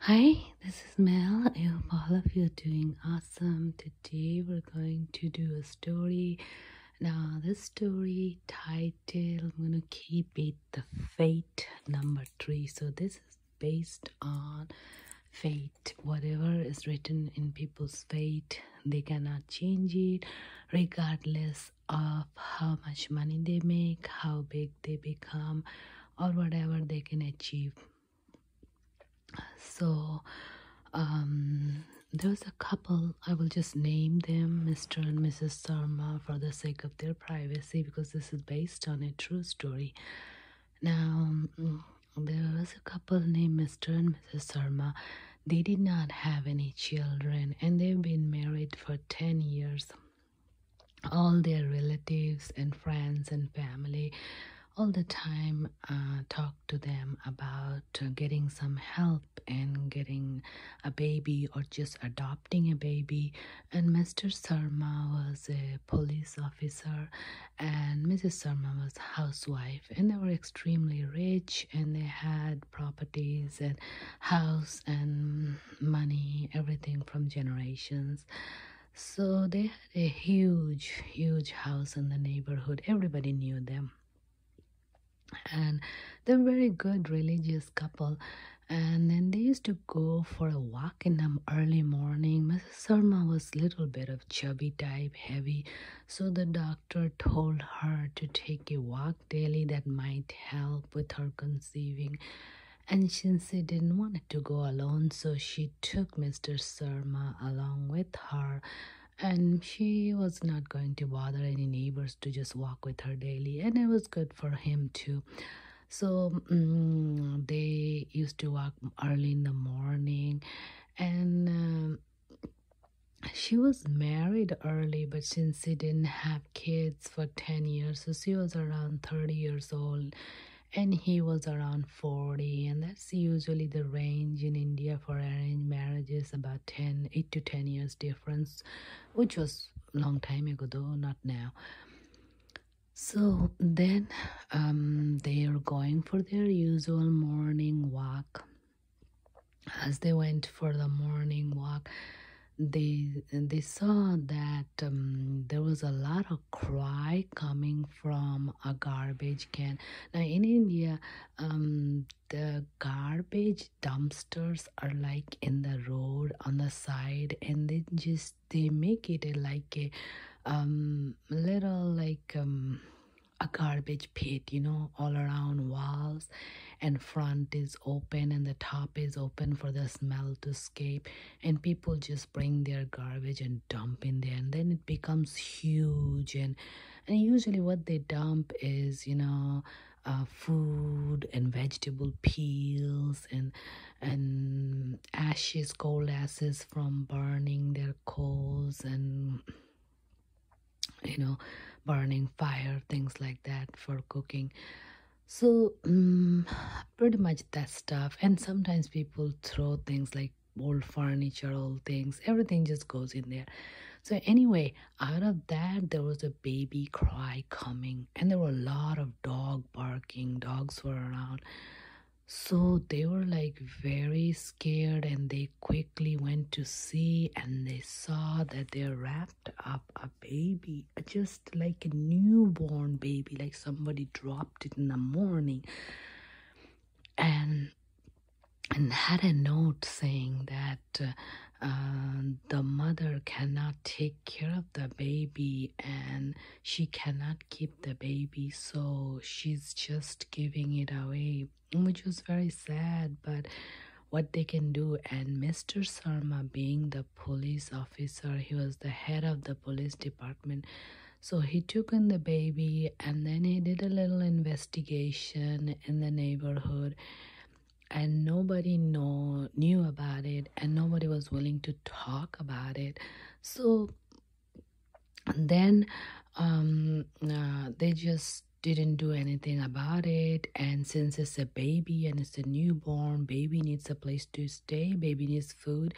Hi, this is Mel. I hope all of you are doing awesome. Today we're going to do a story. Now, this story title, I'm going to keep it The Fate number three. So, this is based on fate whatever is written in people's fate they cannot change it regardless of how much money they make how big they become or whatever they can achieve so um, there was a couple i will just name them mr and mrs sarma for the sake of their privacy because this is based on a true story now, mm, there was a couple named Mr. and Mrs. Sharma. They did not have any children and they've been married for 10 years. All their relatives and friends and family all the time uh, talk to them about getting some help and getting a baby or just adopting a baby and Mr. Sarma was a police officer and Mrs. Sarma was housewife and they were extremely rich and they had properties and house and money everything from generations so they had a huge huge house in the neighborhood everybody knew them and they're very good religious couple and then they used to go for a walk in the early morning Sarma was little bit of chubby type, heavy, so the doctor told her to take a walk daily that might help with her conceiving. And since Shinse didn't want to go alone, so she took Mr. Sarma along with her. And she was not going to bother any neighbors to just walk with her daily, and it was good for him too so um, they used to work early in the morning and um, she was married early but since she didn't have kids for 10 years so she was around 30 years old and he was around 40 and that's usually the range in india for arranged marriages about 10 8 to 10 years difference which was long time ago though not now so then um, they are going for their usual morning walk. As they went for the morning walk, they they saw that um, there was a lot of cry coming from a garbage can. Now in India, um, the garbage dumpsters are like in the road on the side, and they just they make it like a um, little like um, a garbage pit you know all around walls and front is open and the top is open for the smell to escape and people just bring their garbage and dump in there and then it becomes huge and and usually what they dump is you know uh, food and vegetable peels and and ashes coal ashes from burning their coals and you know burning fire things like that for cooking so mm, pretty much that stuff and sometimes people throw things like old furniture old things everything just goes in there so anyway out of that there was a baby cry coming and there were a lot of dogs barking, dogs were around. So they were like very scared and they quickly went to see and they saw that they wrapped up a baby, uh, just like a newborn baby, like somebody dropped it in the morning. And and had a note saying that uh, uh, the mother cannot take care of the baby and she cannot keep the baby, so she's just giving it away, which was very sad. But what they can do, and Mr. Sarma, being the police officer, he was the head of the police department. So he took in the baby and then he did a little investigation in the neighborhood and nobody know, knew about it and nobody was willing to talk about it so then um, uh, they just didn't do anything about it and since it's a baby and it's a newborn baby needs a place to stay baby needs food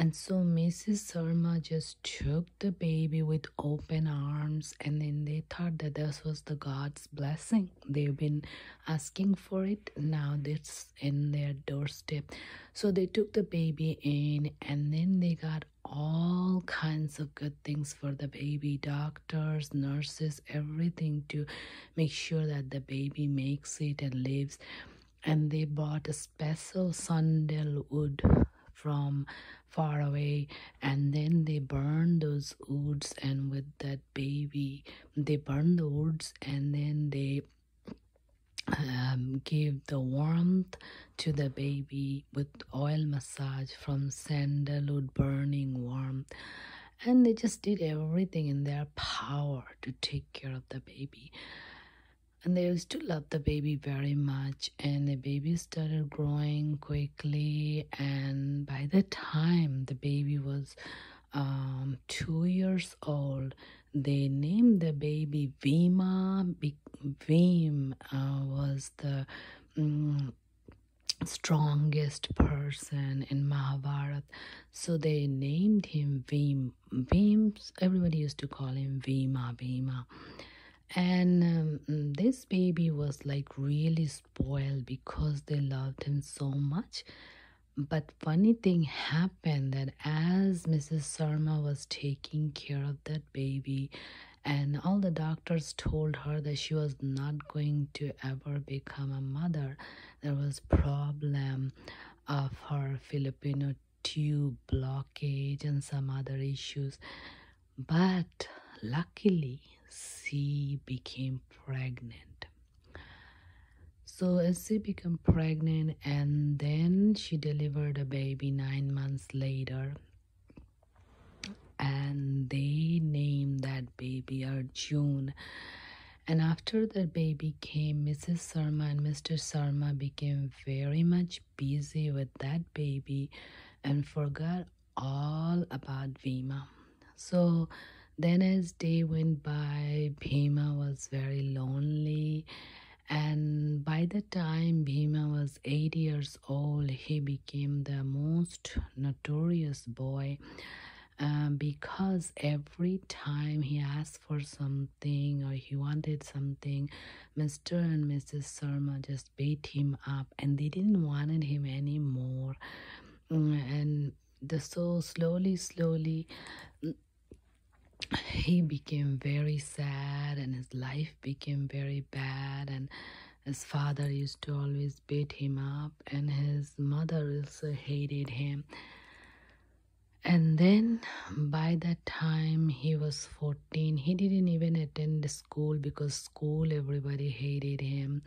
and so Mrs. Sarma just took the baby with open arms, and then they thought that this was the God's blessing. They've been asking for it. Now this in their doorstep. So they took the baby in and then they got all kinds of good things for the baby doctors, nurses, everything to make sure that the baby makes it and lives. And they bought a special sandal wood from far away and then they burn those woods and with that baby they burn the woods and then they um, give the warmth to the baby with oil massage from sandalwood burning warmth and they just did everything in their power to take care of the baby and they used to love the baby very much and the baby started growing quickly and by the time the baby was um, two years old they named the baby Vima. Vima uh, was the mm, strongest person in Mahabharata, so they named him Vima. Vima. Everybody used to call him Vima. Vima. And um, this baby was like really spoiled because they loved him so much but funny thing happened that as Mrs. Sarma was taking care of that baby, and all the doctors told her that she was not going to ever become a mother. There was problem of her Filipino tube blockage and some other issues. But luckily, she became pregnant. So as she became pregnant and then she delivered a baby nine months later and they named that baby June. And after that baby came, Mrs. Sarma and Mr. Sarma became very much busy with that baby and forgot all about Vima. So then, as day went by, Bhima was very lonely. And by the time Bhima was eight years old, he became the most notorious boy um, because every time he asked for something or he wanted something, Mr. and Mrs. Sharma just beat him up and they didn't want him anymore. Mm, and the soul slowly, slowly, he became very sad and his life became very bad and his father used to always beat him up and his mother also hated him and then by that time he was 14 he didn't even attend school because school everybody hated him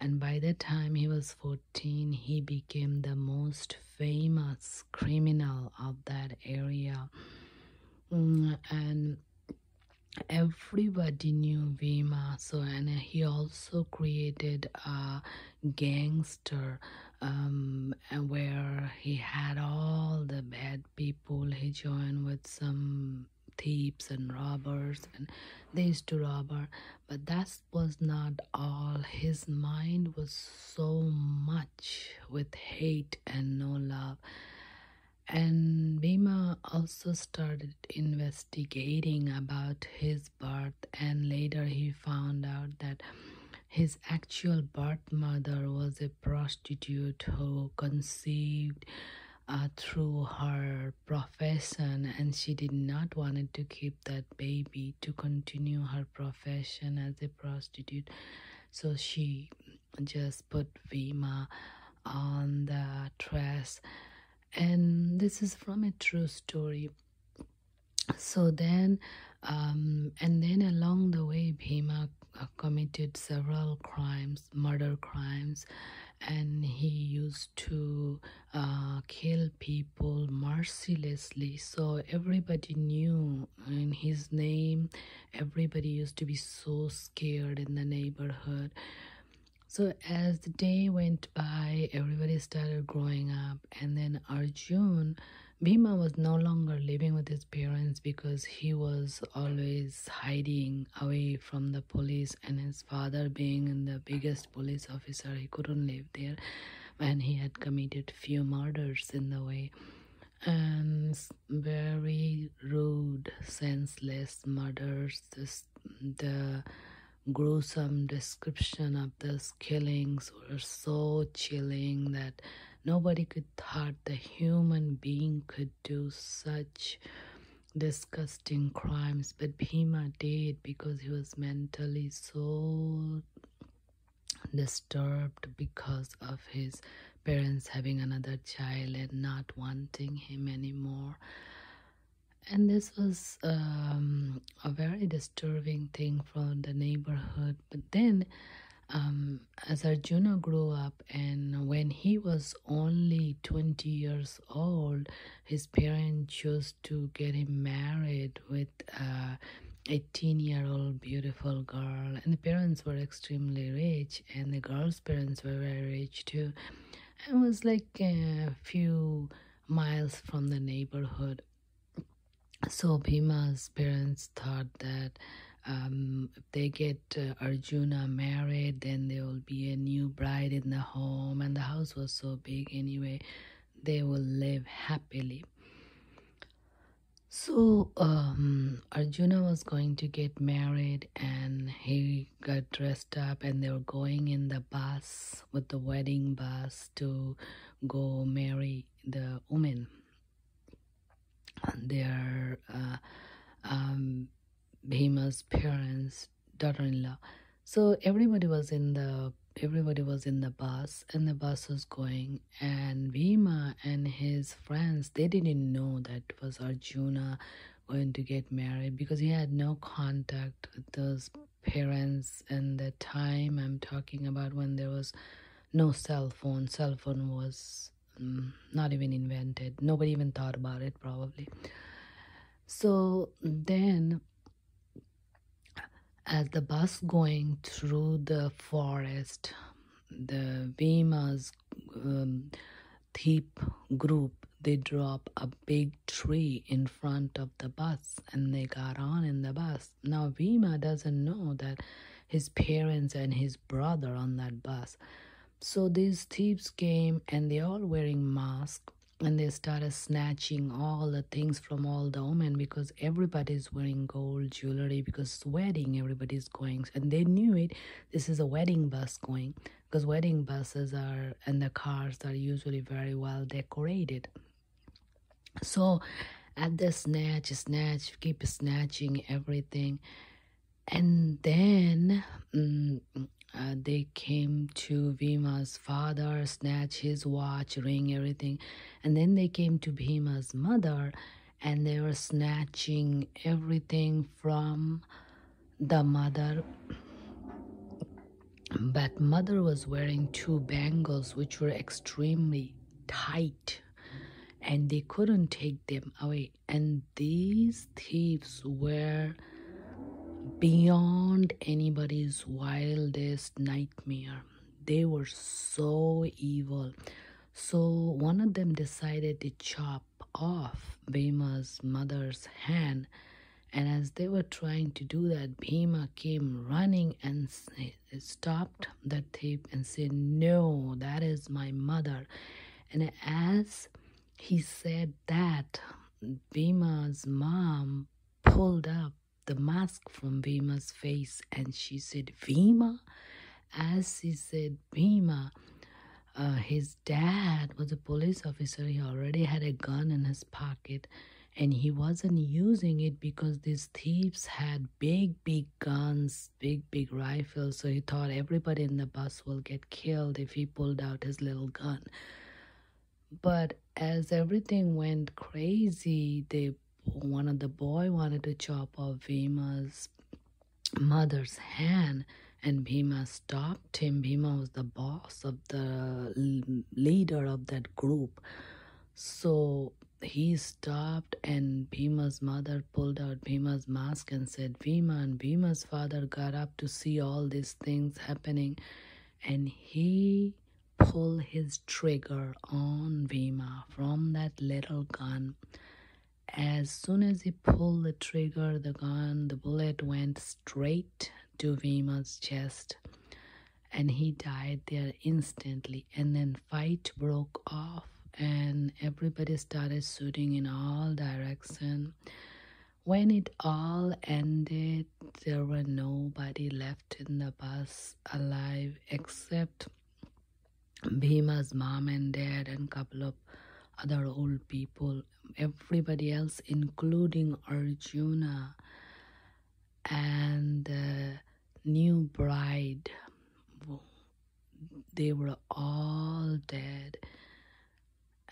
and by that time he was 14 he became the most famous criminal of that area. Mm, and everybody knew Vima, uh, so and he also created a gangster um, where he had all the bad people. He joined with some thieves and robbers and they used to robber but that's was not all. His mind was so much with hate and no love. And Bima also started investigating about his birth, and later he found out that his actual birth mother was a prostitute who conceived uh, through her profession, and she did not wanted to keep that baby to continue her profession as a prostitute. So she just put Bhima on the dress. And this is from a true story. So then, um, and then along the way, Bhima committed several crimes, murder crimes, and he used to uh, kill people mercilessly. So everybody knew in his name. Everybody used to be so scared in the neighborhood. So as the day went by, everybody started growing up, and then Arjun, Bima was no longer living with his parents because he was always hiding away from the police, and his father, being the biggest police officer, he couldn't live there and he had committed few murders in the way and very rude senseless murders the gruesome description of those killings were so chilling that nobody could thought the human being could do such disgusting crimes but bhima did because he was mentally so disturbed because of his parents having another child and not wanting him anymore and this was um, a very disturbing thing for the neighborhood but then um, as Arjuna grew up and when he was only 20 years old his parents chose to get him married with a 18 year old beautiful girl and the parents were extremely rich and the girl's parents were very rich too i was like a few miles from the neighborhood so bhima's parents thought that um, if they get uh, Arjuna married, then there will be a new bride in the home, and the house was so big anyway they will live happily. So um, Arjuna was going to get married and he got dressed up and they were going in the bus with the wedding bus to go marry the woman. Their uh, um, Bhima's parents daughter-in-law so everybody was in the everybody was in the bus and the bus was going and Bhima and his friends they didn't know that was Arjuna going to get married because he had no contact with those parents and the time I'm talking about when there was no cell phone cell phone was mm, not even invented nobody even thought about it probably so then as the bus going through the forest, the Vima's um, thief group they drop a big tree in front of the bus and they got on in the bus. Now Vima doesn't know that his parents and his brother on that bus. So these thieves came and they all wearing mask and they started snatching all the things from all the women because everybody's wearing gold jewelry because it's wedding everybody's going and they knew it this is a wedding bus going because wedding buses are and the cars are usually very well decorated so at the snatch snatch keep snatching everything and then um, they came to Vima's father, snatch his watch, ring, everything. And then they came to Bhima's mother and they were snatching everything from the mother. But mother was wearing two bangles which were extremely tight and they couldn't take them away. And these thieves were beyond anybody's wildest nightmare. They were so evil. So one of them decided to chop off Bhima's mother's hand. And as they were trying to do that, Bhima came running and stopped the thief and said, No, that is my mother. And as he said that, Bhima's mom pulled up the mask from Vima's face and she said, Vima? As he said, Vima, uh, his dad was a police officer. He already had a gun in his pocket and he wasn't using it because these thieves had big, big guns, big, big rifles. So he thought everybody in the bus will get killed if he pulled out his little gun. But as everything went crazy, they one of the boy wanted to chop off Bhima's mother's hand and Bhima stopped him. Bhima was the boss of the leader of that group. So he stopped and Bhima's mother pulled out Bhima's mask and said, Bhima and Bhima's father got up to see all these things happening and he pull his trigger on Vima from that little gun. As soon as he pulled the trigger, the gun, the bullet went straight to Vima's chest and he died there instantly. And then fight broke off and everybody started shooting in all directions. When it all ended, there were nobody left in the bus alive except Bhima's mom and dad and couple of other old people. Everybody else, including Arjuna and the new bride, they were all dead.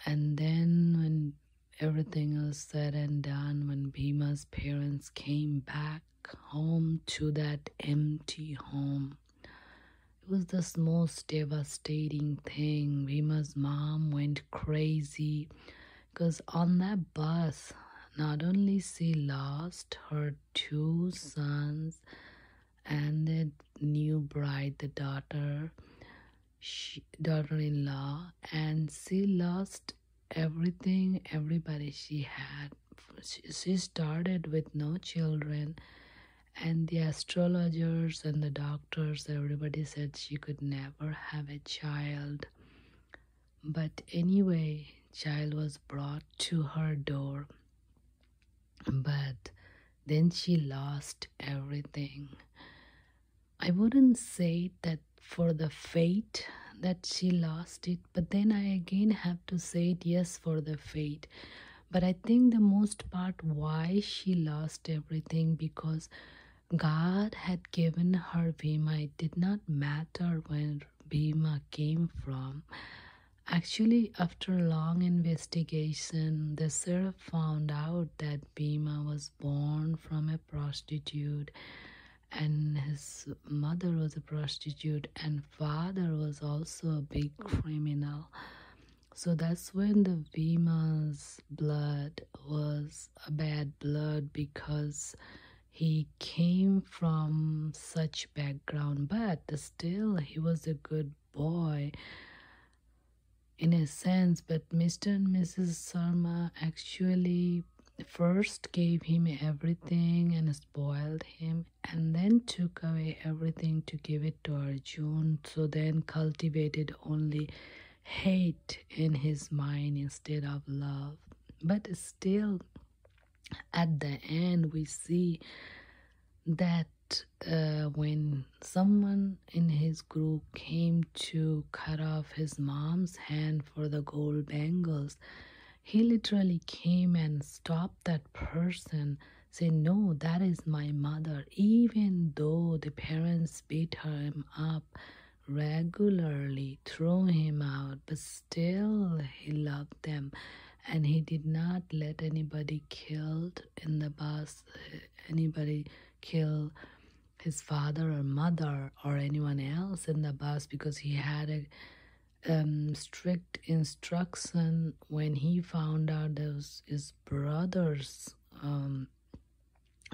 And then when Everything was said and done when Bima's parents came back home to that empty home. It was the most devastating thing. Bima's mom went crazy because on that bus, not only she lost her two sons and the new bride, the daughter, daughter-in-law and she lost everything everybody she had she started with no children and the astrologers and the doctors everybody said she could never have a child but anyway child was brought to her door but then she lost everything I wouldn't say that for the fate that she lost it, but then I again have to say it yes for the fate. But I think the most part why she lost everything because God had given her Bima. It did not matter where Bima came from. Actually, after a long investigation, the Seraph found out that that was born from a prostitute and his mother was a prostitute and father was also a big criminal so that's when the Bhima's blood was a bad blood because he came from such background but still he was a good boy in a sense, but Mr. and Mrs. Sharma actually first gave him everything and spoiled him and then took away everything to give it to Arjun so then cultivated only hate in his mind instead of love but still at the end we see that uh, when someone in his group came to cut off his mom's hand for the gold bangles, he literally came and stopped that person said, no that is my mother even though the parents beat him up regularly threw him out but still he loved them and he did not let anybody killed in the bus anybody kill his father or mother or anyone else in the bus because he had a um, strict instruction when he found out that his brother's um,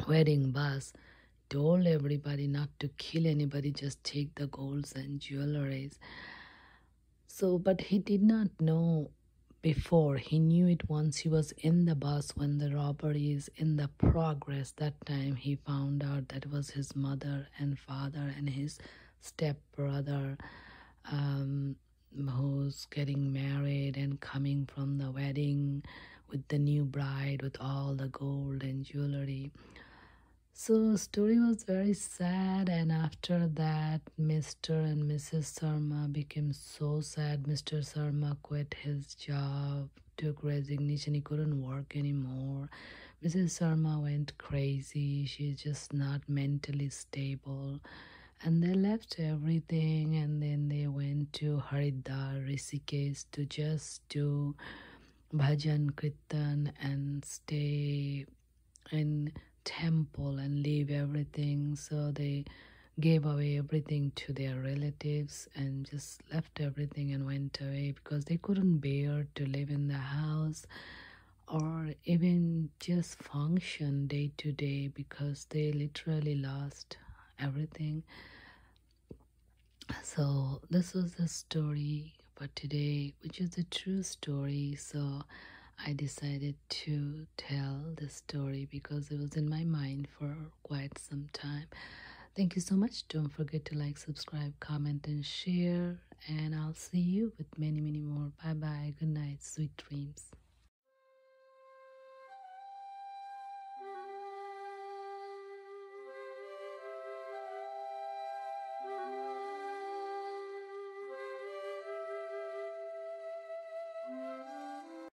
wedding bus to told everybody not to kill anybody just take the golds and jewelries so but he did not know before he knew it once he was in the bus when the robberies in the progress that time he found out that was his mother and father and his stepbrother um, who's getting married and coming from the wedding with the new bride with all the gold and jewelry so story was very sad and after that mr and mrs sharma became so sad Mr. Sharma quit his job, took resignation, he couldn't work anymore. Mrs. Sharma went crazy, she's just not mentally stable. And they left everything and then they went to Haridwar, Rishikesh to just do bhajan, kritan and stay in temple and leave everything. So they gave away everything to their relatives and just left everything and went away because they couldn't bear to live in the house or even just function day to day because they literally lost everything. So, this was the story for today, which is a true story. So, I decided to tell this story because it was in my mind for quite some time. Thank you so much. Don't forget to like, subscribe, comment, and share. And I'll see you with many, many more. Bye bye. Good night. Sweet dreams.